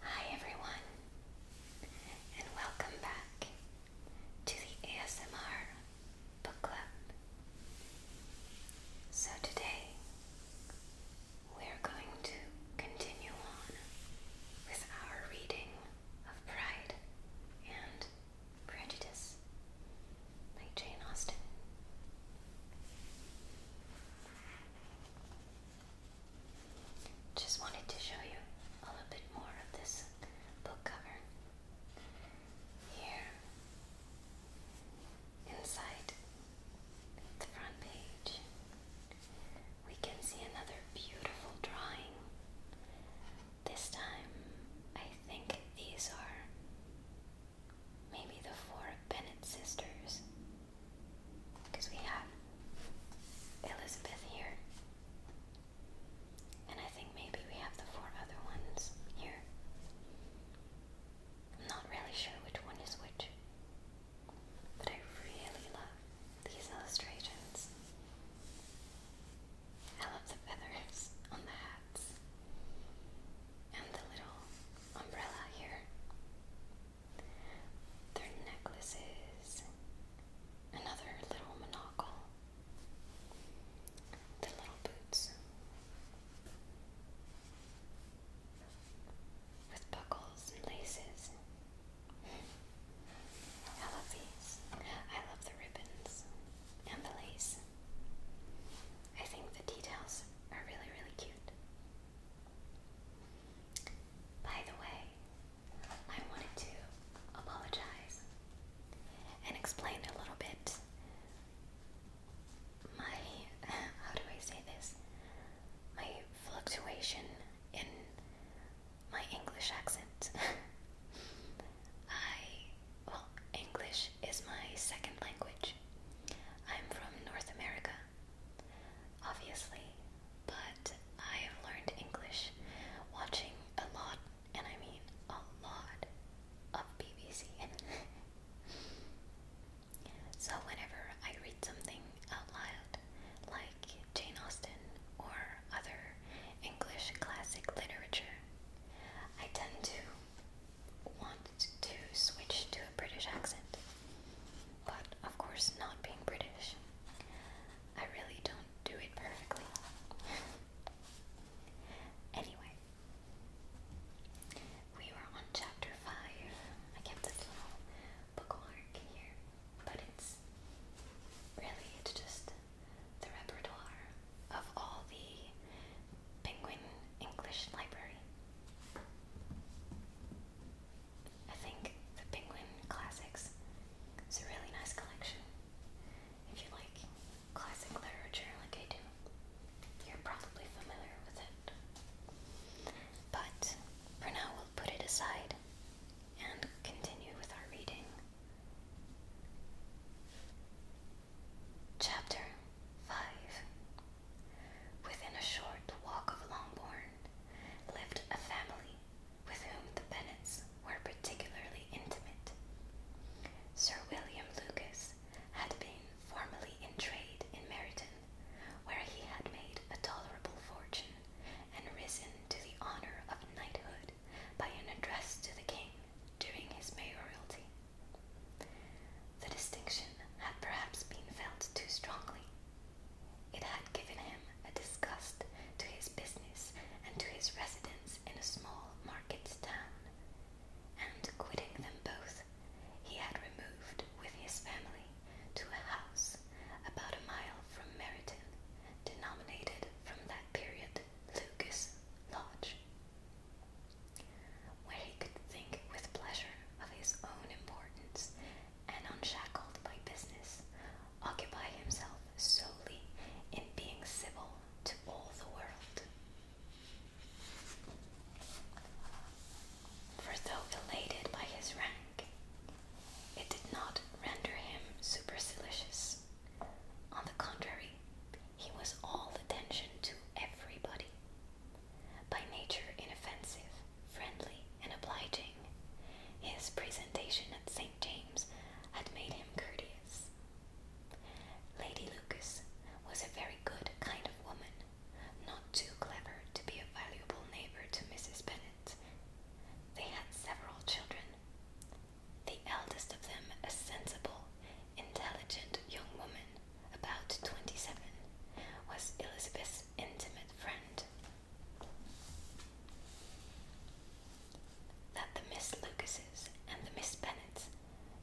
Hi everyone, and welcome back to the ASMR Book Club. So today we're going to continue on with our reading of Pride and Prejudice by Jane Austen. Just wanted to show you a little bit more of this book cover. Here, inside the front page, we can see another beautiful drawing. This time, I think these are Maybe the four Bennett sisters. Because we have Elizabeth here. And I think maybe we have the four other ones here. I'm not really sure which one is which. But I really love these illustrations. I love the feathers on the hats and the little umbrella here. Their necklaces, another little monocle, the little boots with buckles and laces. I love these. I love the ribbons and the lace. I think the details are really, really cute. By the way, I wanted to apologize and explain a little bit my, how do I say this, my fluctuation in my English accent. I, well, English is my second language. I'm from North America, obviously, but I have learned English watching a lot, and I mean a lot, of BBC. so, whenever I read something out loud, like Jane Austen or other English classic literature, I tend to want to switch to a British accent, but of course, not being British, I really don't do it perfectly. anyway, we were on chapter 5. I kept this little bookmark here, but it's really, it's just the repertoire of all the Penguin English Library. I think the Penguin Classics is a really nice collection. If you like classic literature like I do, you're probably familiar with it. But for now, we'll put it aside and continue with our reading. Chapter 5 Within a short walk of Longbourn lived a family with whom the Bennets were particularly intimate. Sir William Lucas had been formerly in trade in Meryton, where he had made a tolerable fortune and risen to the honour of knighthood by an address to the king during his mayoralty. The distinction had perhaps been felt too strongly. It had given him a disgust to his business and to his residence in a small market town, and quitting them both, he had removed with his family to a house about a mile from Meryton, denominated from that period Lucas Lodge where he could think with pleasure of his own importance and unshackled by business, occupy himself solely in being civil to all the world. For though elated by his rank, it did not render him supercilious. On the contrary, he was all attention to everybody. By nature inoffensive, friendly, and obliging, his presentation at St. James's had made him courteous. Lady Lucas was a very good kind of woman, not too clever to be a valuable neighbor to Mrs. Bennet. They had several children, the eldest of them, a sensible, intelligent young woman, about twenty seven, was Elizabeth's intimate friend. That the Miss Lucases and the Miss Bennets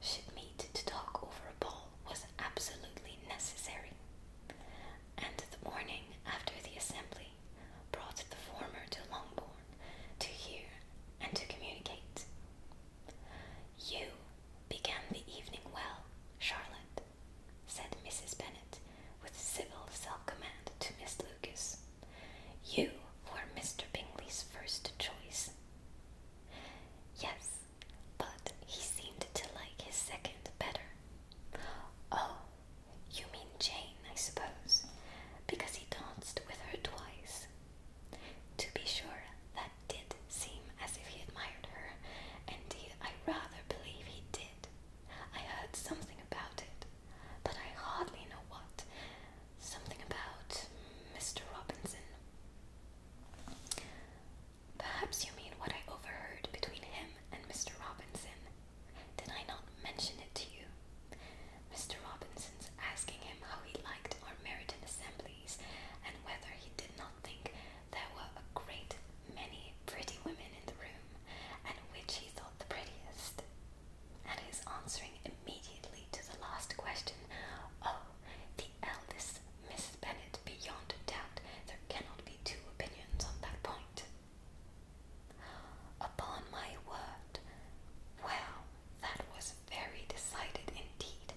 should meet to talk over a ball was absolutely necessary, and the morning after the assembly brought the former to Longbourn to hear and to communicate. You began the evening well, Charlotte, said Mrs. Bennet with civil self-command to Miss Lucas. You were Mr. Bingley's first choice. Yes, but he seemed to like his second better. Oh, you mean Jane, I suppose, because he danced with her twice to be sure, that did seem as if he admired her. Indeed, I rather believe he did. I heard something about it, but I hardly know what. Something about Mr. Robinson. Perhaps you mean what I overheard between him and Mr. Robinson. Did I not mention it to you? Mr. Robinson's asking him how he liked our Meryton assemblies and whether he did not think there were a great many pretty women in the room, and which he thought the prettiest. And his answering immediately to the last question, Oh, the eldest Miss Bennet, beyond a doubt, there cannot be two opinions on that point. Upon my word, well, that was very decided indeed.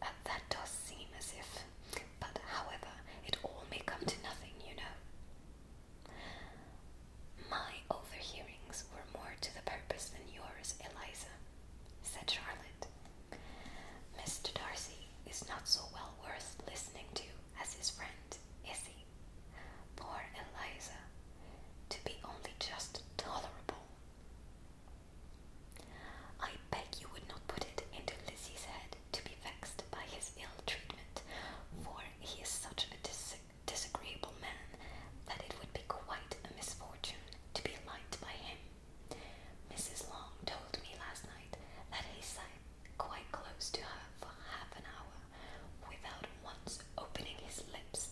that does seem as if. But however, it all may come to nothing, you know. My overhearings were more to the purpose than yours, Eliza, said Charlotte. Mr. Darcy is not so well worth listening to as his friend, is he? Poor Eliza, to be only just tolerable I beg you would not put it into Lizzie's head to be vexed by his ill treatment, for he is such a disagreeable man that it would be quite a misfortune to be liked by him. Mrs. Long told me last night that he sat quite close to her for half an hour without once opening his lips.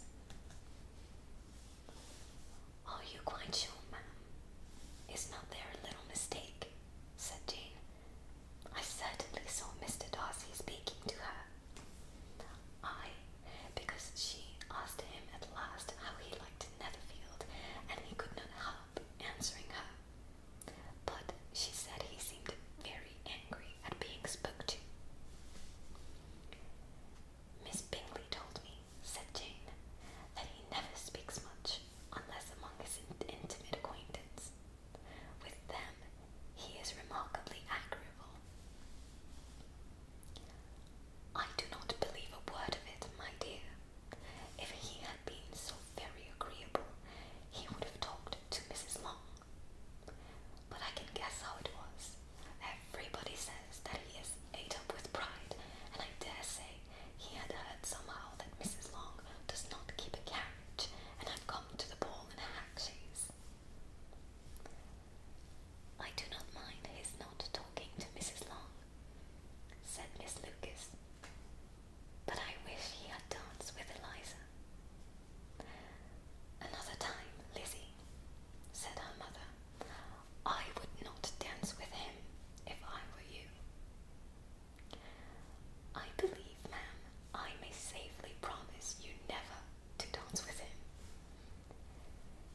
Are you quite sure, ma'am? Is not there a little mistake? said Jane. I certainly saw Mr. Darcy speaking to her. I, because she asked him at last how he liked Netherfield, and he could not help answering her. But she said he seemed very angry at being spoke to. Miss Bingley told me, said Jane, that he never speaks much unless among his intimate acquaintance. With them, he is remarkably agreeable. I do not believe a word of it, my dear. If he had been so very agreeable, he would have talked to Mrs. Long but I can guess how it was. Everybody says that he is ate up with pride, and I dare say he had heard somehow that Mrs. Long does not keep a carriage and had come to the ball in a hack chaise. I do not mind his not talking to Mrs. Long, said Miss Lucas, but I wish he had danced with Eliza. Another time, Lizzie, said her mother, I would not dance with him if I were you. I believe, ma'am, I may safely promise you never to dance with him.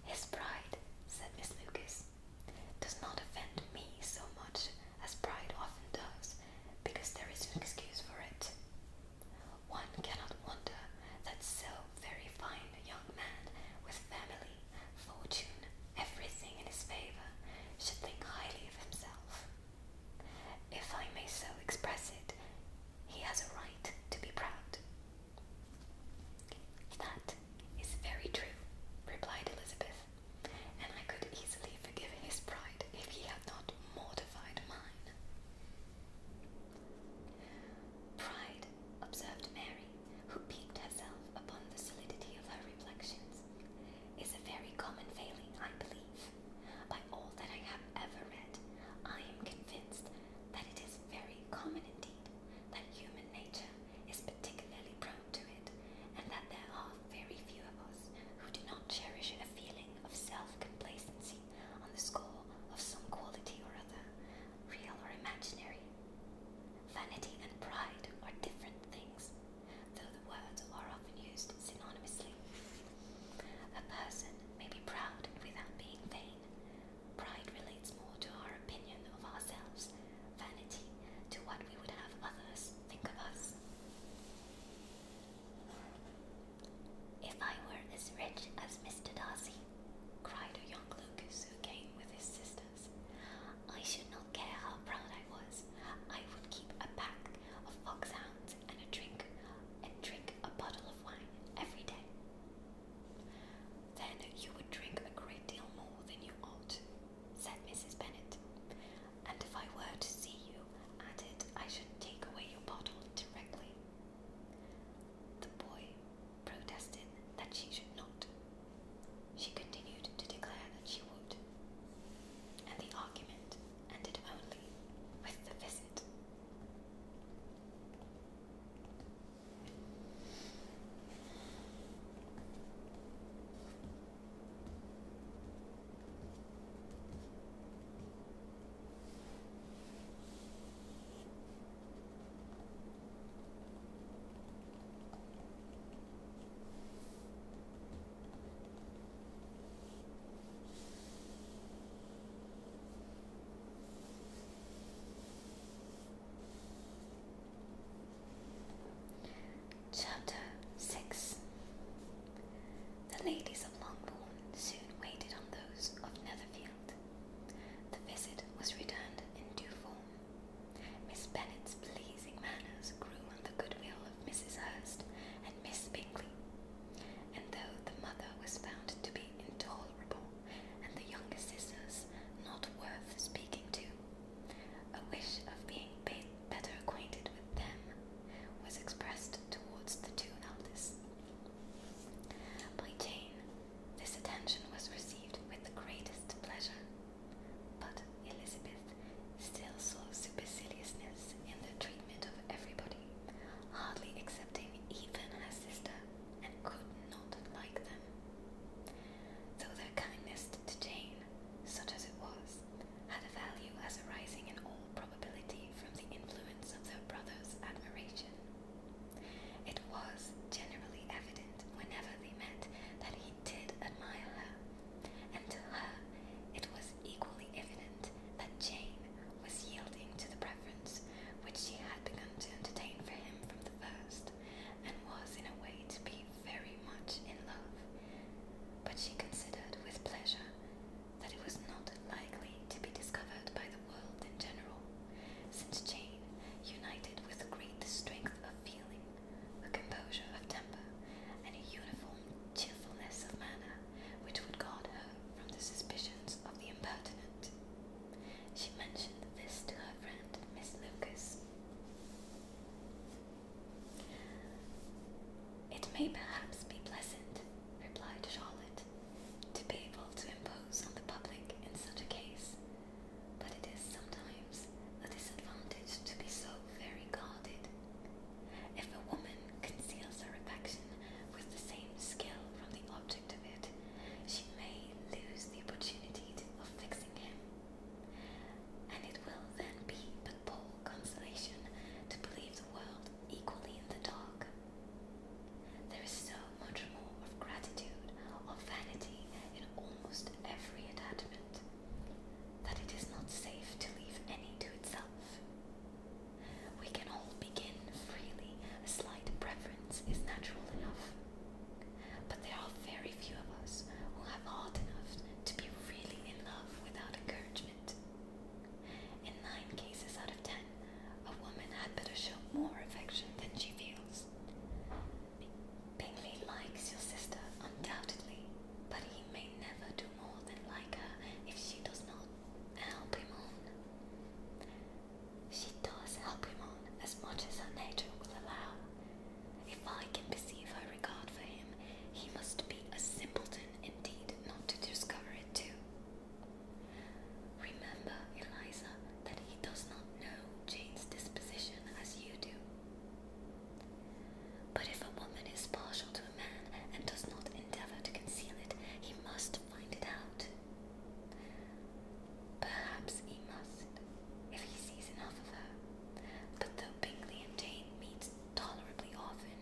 His pride, said Miss Lucas, does not offend me so much as pride often does, because there is an excuse for it. One cannot wonder that so very fine a young man, with family, fortune, everything in his favour, should think highly of himself. If I may so express it, he has a right to be proud. That is very true, replied Elizabeth, and I could easily forgive his pride if he had not mortified mine. Pride, observed Mary, who piqued herself upon the solidity of her reflections, is a very common failing, I believe. By all that I have ever read, I am convinced that it is very common indeed, that human nature is particularly prone to it, and that there are very few of us who do not cherish a feeling of self complacency on the score of some quality or other, real or imaginary. Vanity and pride are different things, though the words are often used synonymously. A person may be proud without being vain. Pride relates more to our opinion of ourselves, vanity to what we would have others think of us. If I were as rich as Mr. Darcy, cried a young Lucas who came with his sisters, I should not care how proud I was. I would keep a pack of foxhounds and a drink and drink a bottle of wine every day. Then you would drink a great deal more than you ought, said Mrs. Bennet. And if I were to see you at I should take away your bottle directly. The boy protested that she should not. She continued to declare that she would, and the argument ended only with the visit. Chapter 6 The ladies of Longbourn soon waited on those of Netherfield. The visit was returned in due form. Miss Bennet's pleasing manners grew on the goodwill of Mrs. Hurst and Miss Bingley, and though the mother was found to be intolerable and the younger sisters not worth speaking to, a wish of being better acquainted with them was expressed towards the two eldest. By Jane, this attention was received with the greatest pleasure, but Elizabeth still saw superciliousness in the treatment of everybody, hardly accepting even her sister, and could not like them. Though their kindness to Jane, such as it was, had a value as arising in all probability from the influence of their brother's admiration. It was generally evident whenever they met that he did admire her, and to her it was equally evident that Jane was yielding to the preference which she had begun to entertain for him from the first, and was in a way to be very much in love. But she considered with pleasure that it was not likely to be discovered by the world in general, since Jane, united with great strength of feeling, a composure of temper, and a uniform cheerfulness of manner, which would guard her from the suspicions of the impertinent. She mentioned this to her friend, Miss Lucas. It may perhaps be pleasant replied Charlotte, to be able to impose on the public in such a case, but it is sometimes a disadvantage to be so very guarded. If a woman conceals her affection with the same skill from the object of it, she may lose the opportunity of fixing him, and it will then be but poor consolation to believe the world equally in the dark. There is so much more of gratitude of vanity in almost every attachment that it is not safe to leave any to itself. We can all begin freely, a slight preference is natural enough. But there are very few of us who have heart enough to be really in love without encouragement. In nine cases out of ten, a woman had better show more affection than she feels. Bingley likes your sister, undoubtedly, but he may never do more than like her if she does not help him on. She does help him on as much as her nature will allow. If I can perceive her regard for him, he must be a simpleton indeed not to discover it too. Remember, Eliza, that he does not know Jane's disposition as you do. But if a woman is partial to a man and does not endeavour to conceal it, he must find it out. Perhaps he must, if he sees enough of her. But though Bingley and Jane meet tolerably often,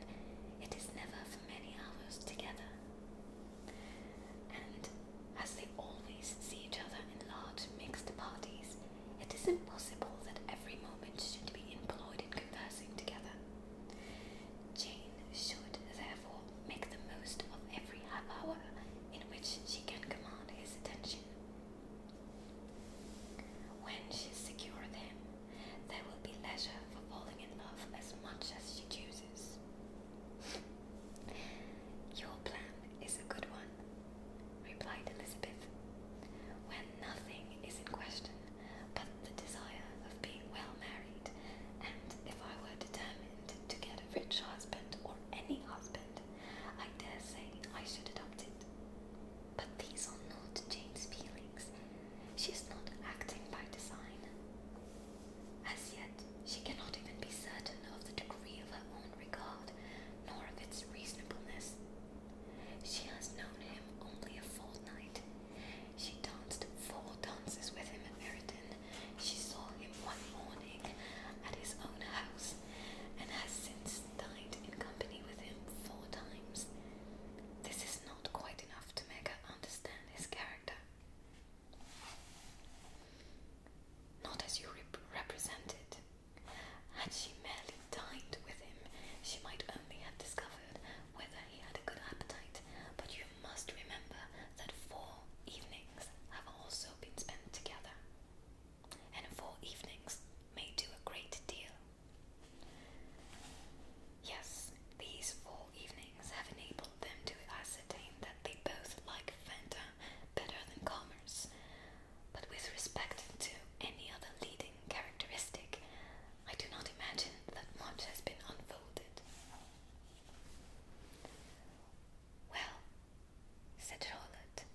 it is never for many hours together. And as they always see each other in large mixed parties, it is impossible that every moment should be employed in conversing together. Jane should therefore make the most of every half hour in which she can command his attention. When she is secure of him, there will be leisure for falling in love as much as she chooses. Your plan is a good one, replied Elizabeth, when nothing is in question but the desire of being well married, and if I were determined to get a rich husband or any husband, I dare say I should adopt it. But these are not Jane's feelings. She is not acting by design. As yet, she cannot even be certain of the degree of her own regard, nor of its reasonableness. She has known him only a fortnight. She danced four dances with him at Meryton. She saw him one morning at his own house, and has since dined in company with him four times. This is not quite enough to make her understand his character. Not as you represented. Had she merely dined with him, she might only have discovered whether he had a good appetite, but you must remember that four evenings have also been spent together, and four evenings may do a great deal. Yes, these four evenings have enabled them to ascertain that they both like Fanta better than commerce. But with respect to any other leading characteristic, I do not imagine that much has been unfolded. Well, said Charlotte,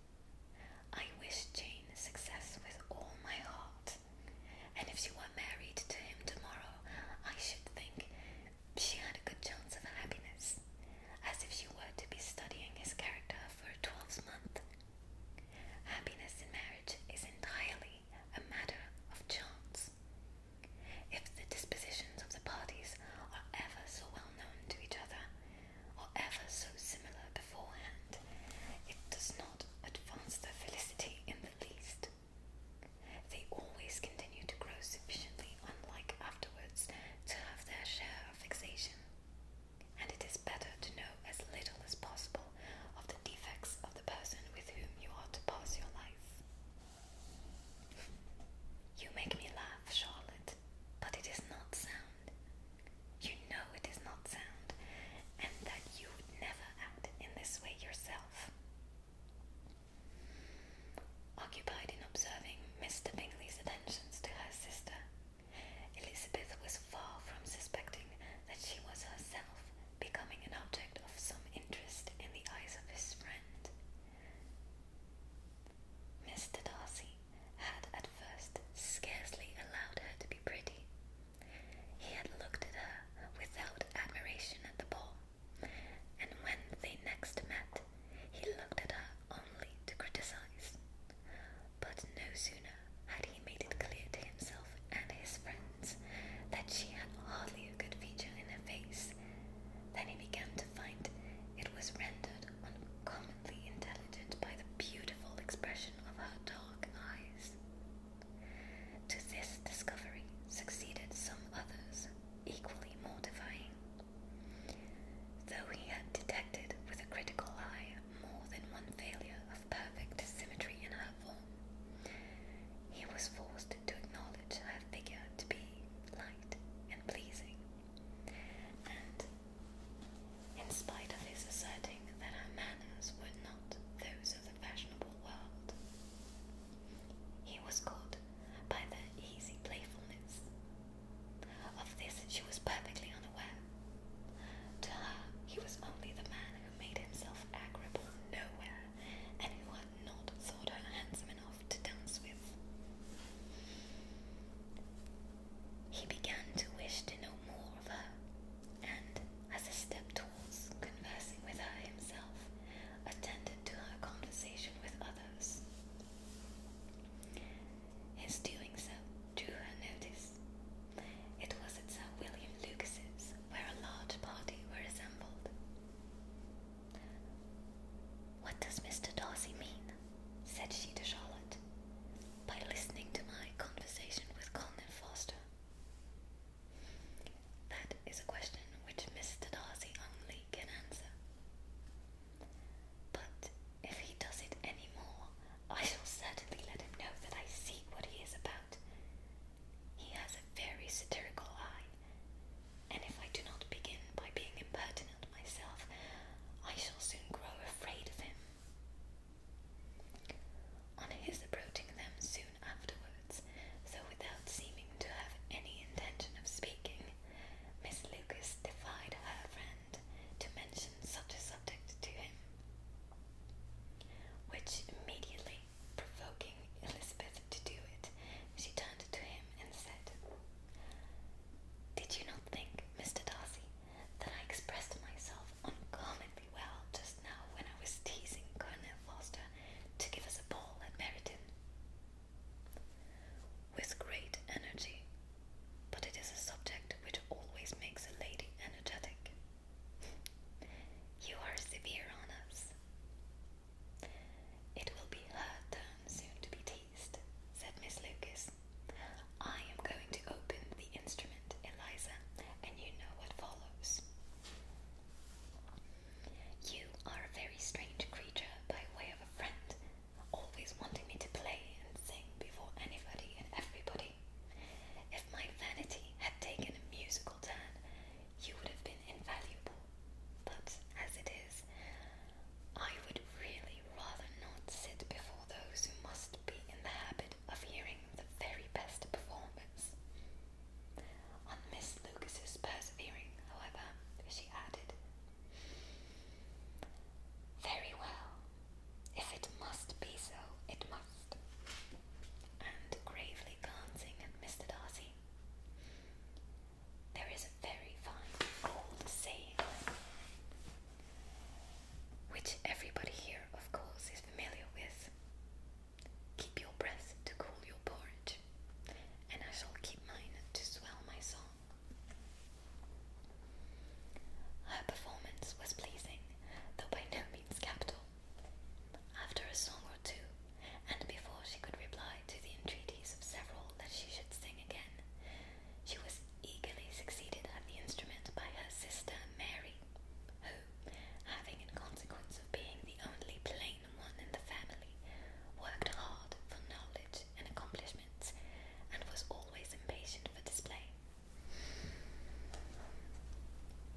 I wish Jane success with all my heart and if she were married to him tomorrow, I should think she had a good chance of happiness, as if she were to be studying his character for a twelvemonth. Happiness in marriage is entirely a matter of chance. If the dispositions of the parties are ever so well known to each other, or ever so similar beforehand, it does not advance their felicity in the least. They always continue to grow sufficiently unlike afterwards to have their share of fixation, and it is better to know as little as possible of the defects of the person with whom you are to pass your life. You make me laugh, Charlotte, but it is not sound. You know it is not sound, and that you would never act in this way yourself. Occupied in observing Mr. Bingley's attentions to her sister, Elizabeth was far from suspecting that she was herself becoming an object of some interest in the eyes of his friend. Mr. Darcy had at first scarcely allowed her to be pretty. He had looked at her without admiration at the ball, and when they next met, he looked at her only to criticize. But no sooner had he made it clear to himself and his friends that she had hardly a good feature in her face than he began to find it was rendered uncommonly intelligent by the beautiful expression of her dark eyes. To this discovery succeeded some others, equally mortifying. Though he had detected with a critical eye more than one failure of perfect symmetry in her form, he was forced to acknowledge her figure to be light and pleasing, and, in spite of his asserting that her manners were not those of the fashionable world, he was caught by the easy playfulness. Of this she was perfectly unaware. To her, he was only the man who made himself agreeable nowhere and who had not thought her handsome enough to dance with. He began to wish to know more of her, and as a step conversing with her himself, attended to her conversation with others. His doing so drew her notice. It was at Sir William Lucas's, where a large party were assembled. What does Mr. Darcy mean? said she to Charlotte, by listening to my conversation with Colonel Foster. That is a question which Mr. Darcy only can answer. But if he does it any more, I shall certainly let him know that I see what he is about. He has a very satirical eye, and if I do not begin by being impertinent myself, I shall soon grow afraid of him. On his approaching them soon afterwards, so without seeming to have any intention of speaking, Miss Lucas defied her friend to mention such a subject to him, which immediately provoking Elizabeth to do it, she turned to him and said, Did you not think, Mr. Darcy, that I expressed myself uncommonly well to now when I was teasing Colonel Foster to give us a ball at Meryton. With great energy, but it is a subject which always makes a lady energetic. you are severe on us. It will be her turn soon to be teased, said Miss Lucas. I am going to open the instrument, Eliza, and you know what follows. You are a very strange creature by way of a friend, always wanting me to play and sing before anybody and everybody. If my vanity had taken a musical turn, you would have been invaluable. But as it is, I would really rather not sit before those who must be in the habit of hearing the very best performances. On Miss Lucas's persevering, however, she added, Very well. If it must be so, it must. And gravely glancing at Mr. Darcy, there is a very fine old saying, which everybody here, of course, is familiar with. Keep your breath to cool your porridge, and I shall keep mine to swell my song. Her performance was pleasing, though by no means capital. After a song or two, and before she could reply to the entreaties of several that she should sing again, she was eagerly succeeded at the instrument by her sister Mary, having in consequence of being the only plain one in the family, worked hard for knowledge and accomplishments, and was always impatient for display.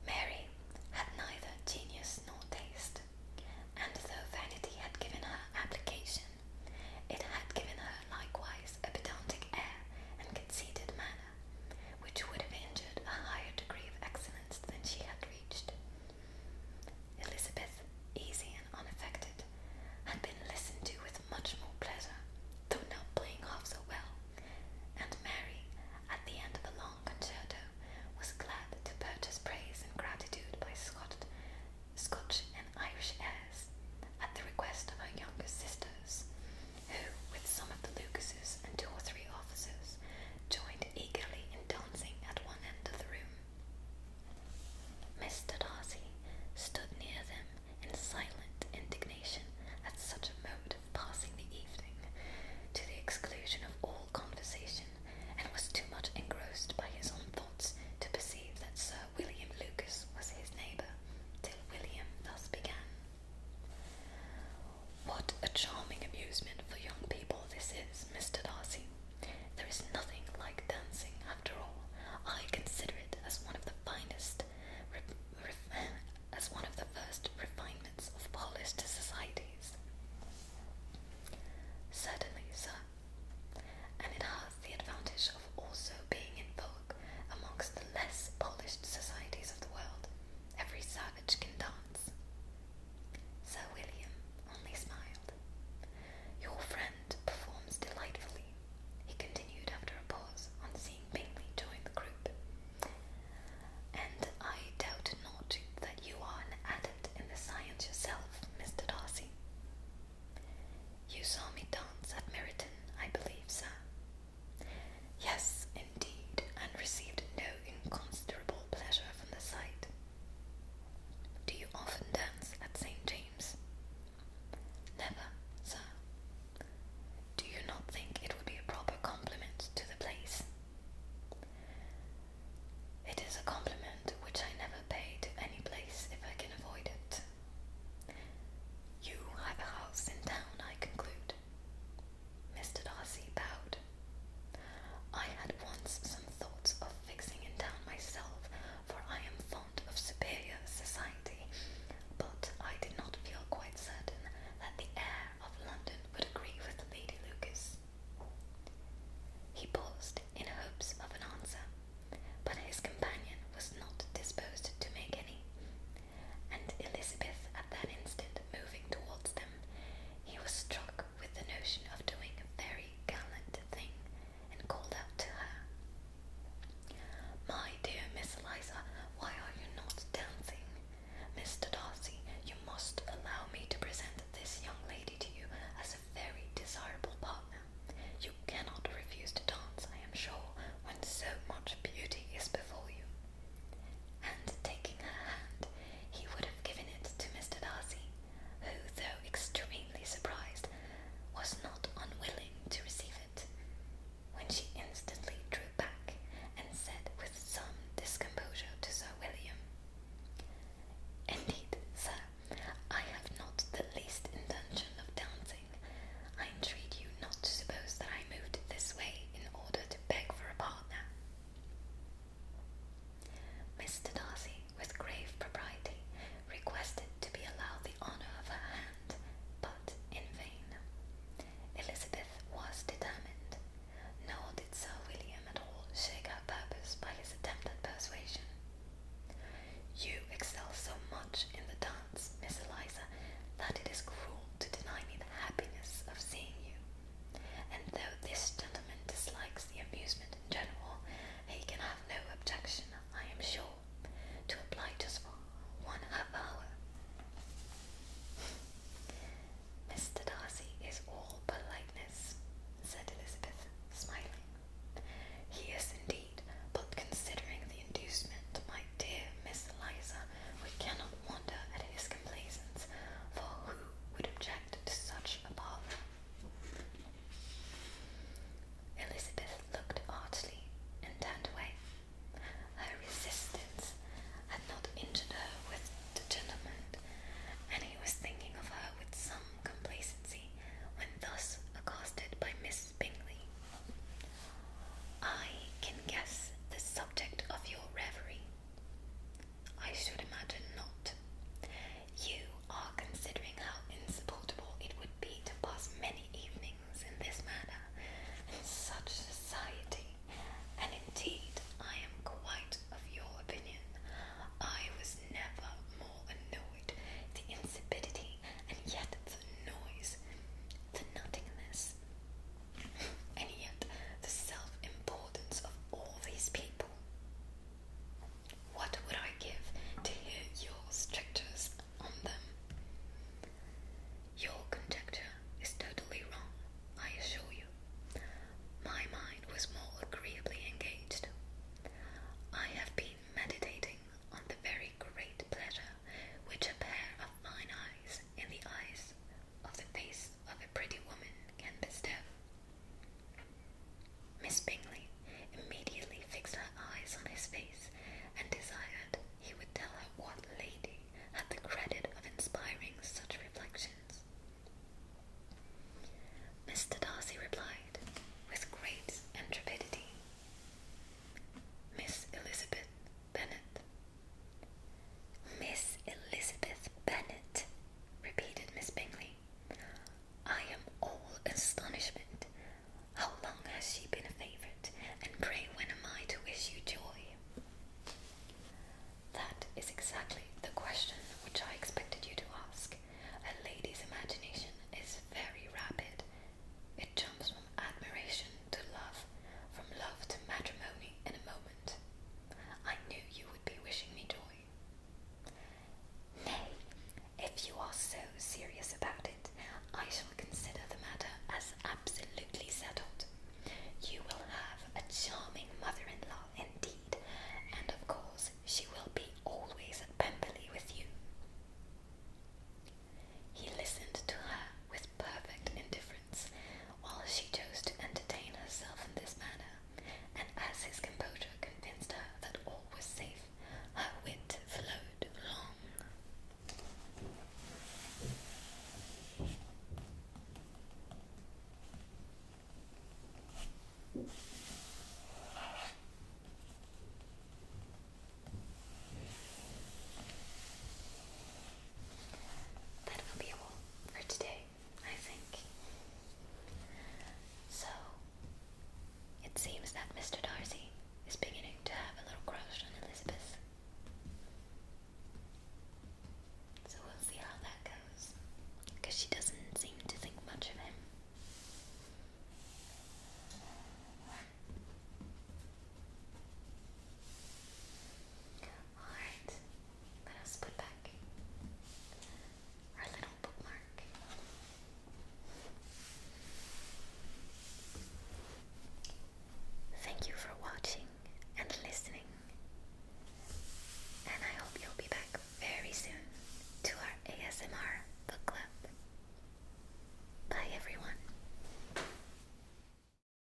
Mary had neither genius nor taste, and though vanity had given her application, it had given her likewise a pedantic air and conceited manner, which would have injured a higher degree of excellence than she had reached. Elizabeth, easy and unaffected, had been listened to with much more pleasure, though not playing half so well, and Mary, at the end of the long concerto, was glad to purchase praise and gratitude by Scotch and Irish airs, at the request of her younger sisters, who, with some of the Lucases and two or three officers, joined eagerly in dancing at one end of the room. Mr. Darcy stood near them in silent indignation at such a mode of passing the evening, to the exclusion of all conversation, and was too much engrossed by his own thoughts to perceive that Sir William Lucas was his neighbour, till William thus began. What a charming amusement for young people this is, Mr. Darcy. There is nothing like dancing, after all. I consider it as one of the finest, as one of the first refinements of polished societies. Certainly, sir. And it has the advantage of also being in vogue amongst the less polished societies of the world. Every savage can dance. Sir William only smiled. Your friend performs delightfully, he continued after a pause on seeing Bingley join the group. And I doubt not that you are an adept in the science yourself, Mr. Darcy. You saw me dance at Meryton, I believe, sir. Yes, indeed, and received no inconsiderable pleasure from the sight. Do you often dance at St. James? Never, sir. Do you not think it would be a proper compliment to the place? It is a compliment which I never pay to any place if I can avoid it. You have a house in town, I conclude. Mr. Darcy bowed. I had once some thoughts of fixing in town myself, for I am fond of superior society, but I did not feel quite certain that the air of London would agree with Lady Lucas. He paused in hopes of an answer, but his companion was not disposed to make any, and Elizabeth at that instant moving towards them he was struck with the notion of doing a very gallant thing and called out to her, My dear Miss Eliza, why are you not dancing? Mr. Darcy, you must allow me to present this young lady to you as a very desirable partner. You cannot refuse to dance, I am sure, when so much beauty is before you and taking her hand, he would have given it to Mr. Darcy, who, though extremely surprised, was not unwilling to receive it, when she instantly drew back and said with some discomposure to Sir William, Indeed, sir, I have not the least intention of dancing. I entreat you not to suppose that I moved this way in order to beg for a partner. Mr. Darcy, with grave propriety, requested to be allowed the honour of her hand, but in vain. Elizabeth was determined, nor did Sir William at all shake her purpose by his attempt at persuasion. You excel so much in the dance, Miss Eliza, that it is cruel to deny me the happiness of seeing you. And though this gentleman dislikes the amusement in general, he can have no objection, I am sure, to oblige us for one half hour. Mr. Darcy is all politeness, said Elizabeth, smiling. He is indeed, but considering the inducement, my dear Miss Eliza, we cannot at his complaisance, for who would object to such a partner? Elizabeth looked artfully and turned away. Her resistance had not injured her with determinant, and he was thinking of her with some complacency when thus accosted by Miss Bingley. I can guess the subject of your reverie, I should imagine not. You are considering how insupportable it would be to pass many evenings in this manner, in such society, and indeed I am quite of your opinion. I was never more annoyed the insipidity and yet the noise, the nothingness, and yet, the self importance of all these people. What would I give to hear your strictures on them? Your conjecture is totally wrong, I assure you. My mind was more agreeably engaged. I have been meditating on the very great pleasure which a pair of fine eyes in the eyes of the face of a pretty woman can bestow. Miss Bingley immediately fixed her eyes on his face and desired he would tell her what lady had the credit of inspiring such reflections. Mr. Darcy replied with great intrepidity Miss Elizabeth Miss Elizabeth Bennet, repeated Miss Bingley. I am all astonishment. How long has she been a favourite, and pray when am I to wish you joy? That is exactly the question which I expected you to ask. A lady's imagination is very rapid. It jumps from admiration to love, from love to matrimony in a moment. I knew you would be wishing me joy. Nay, if you are so serious about it, I shall consider the matter as absolutely settled. You will have a charming mother-in-law indeed, and of course she will be always at Pemberley with you. He listened to her with perfect indifference while she chose to entertain herself in this manner, and as his composure convinced her that all was safe, her wit flowed along. That will be all for today, I think. So, it seems that Mr. Darcy is beginning to have a little crush on Elizabeth. So we'll see how that goes. Because she doesn't seem to think much of him. Alright, let us put back our little bookmark. Thank you for watching and listening, and I hope you'll be back very soon to our ASMR book club. Bye, everyone.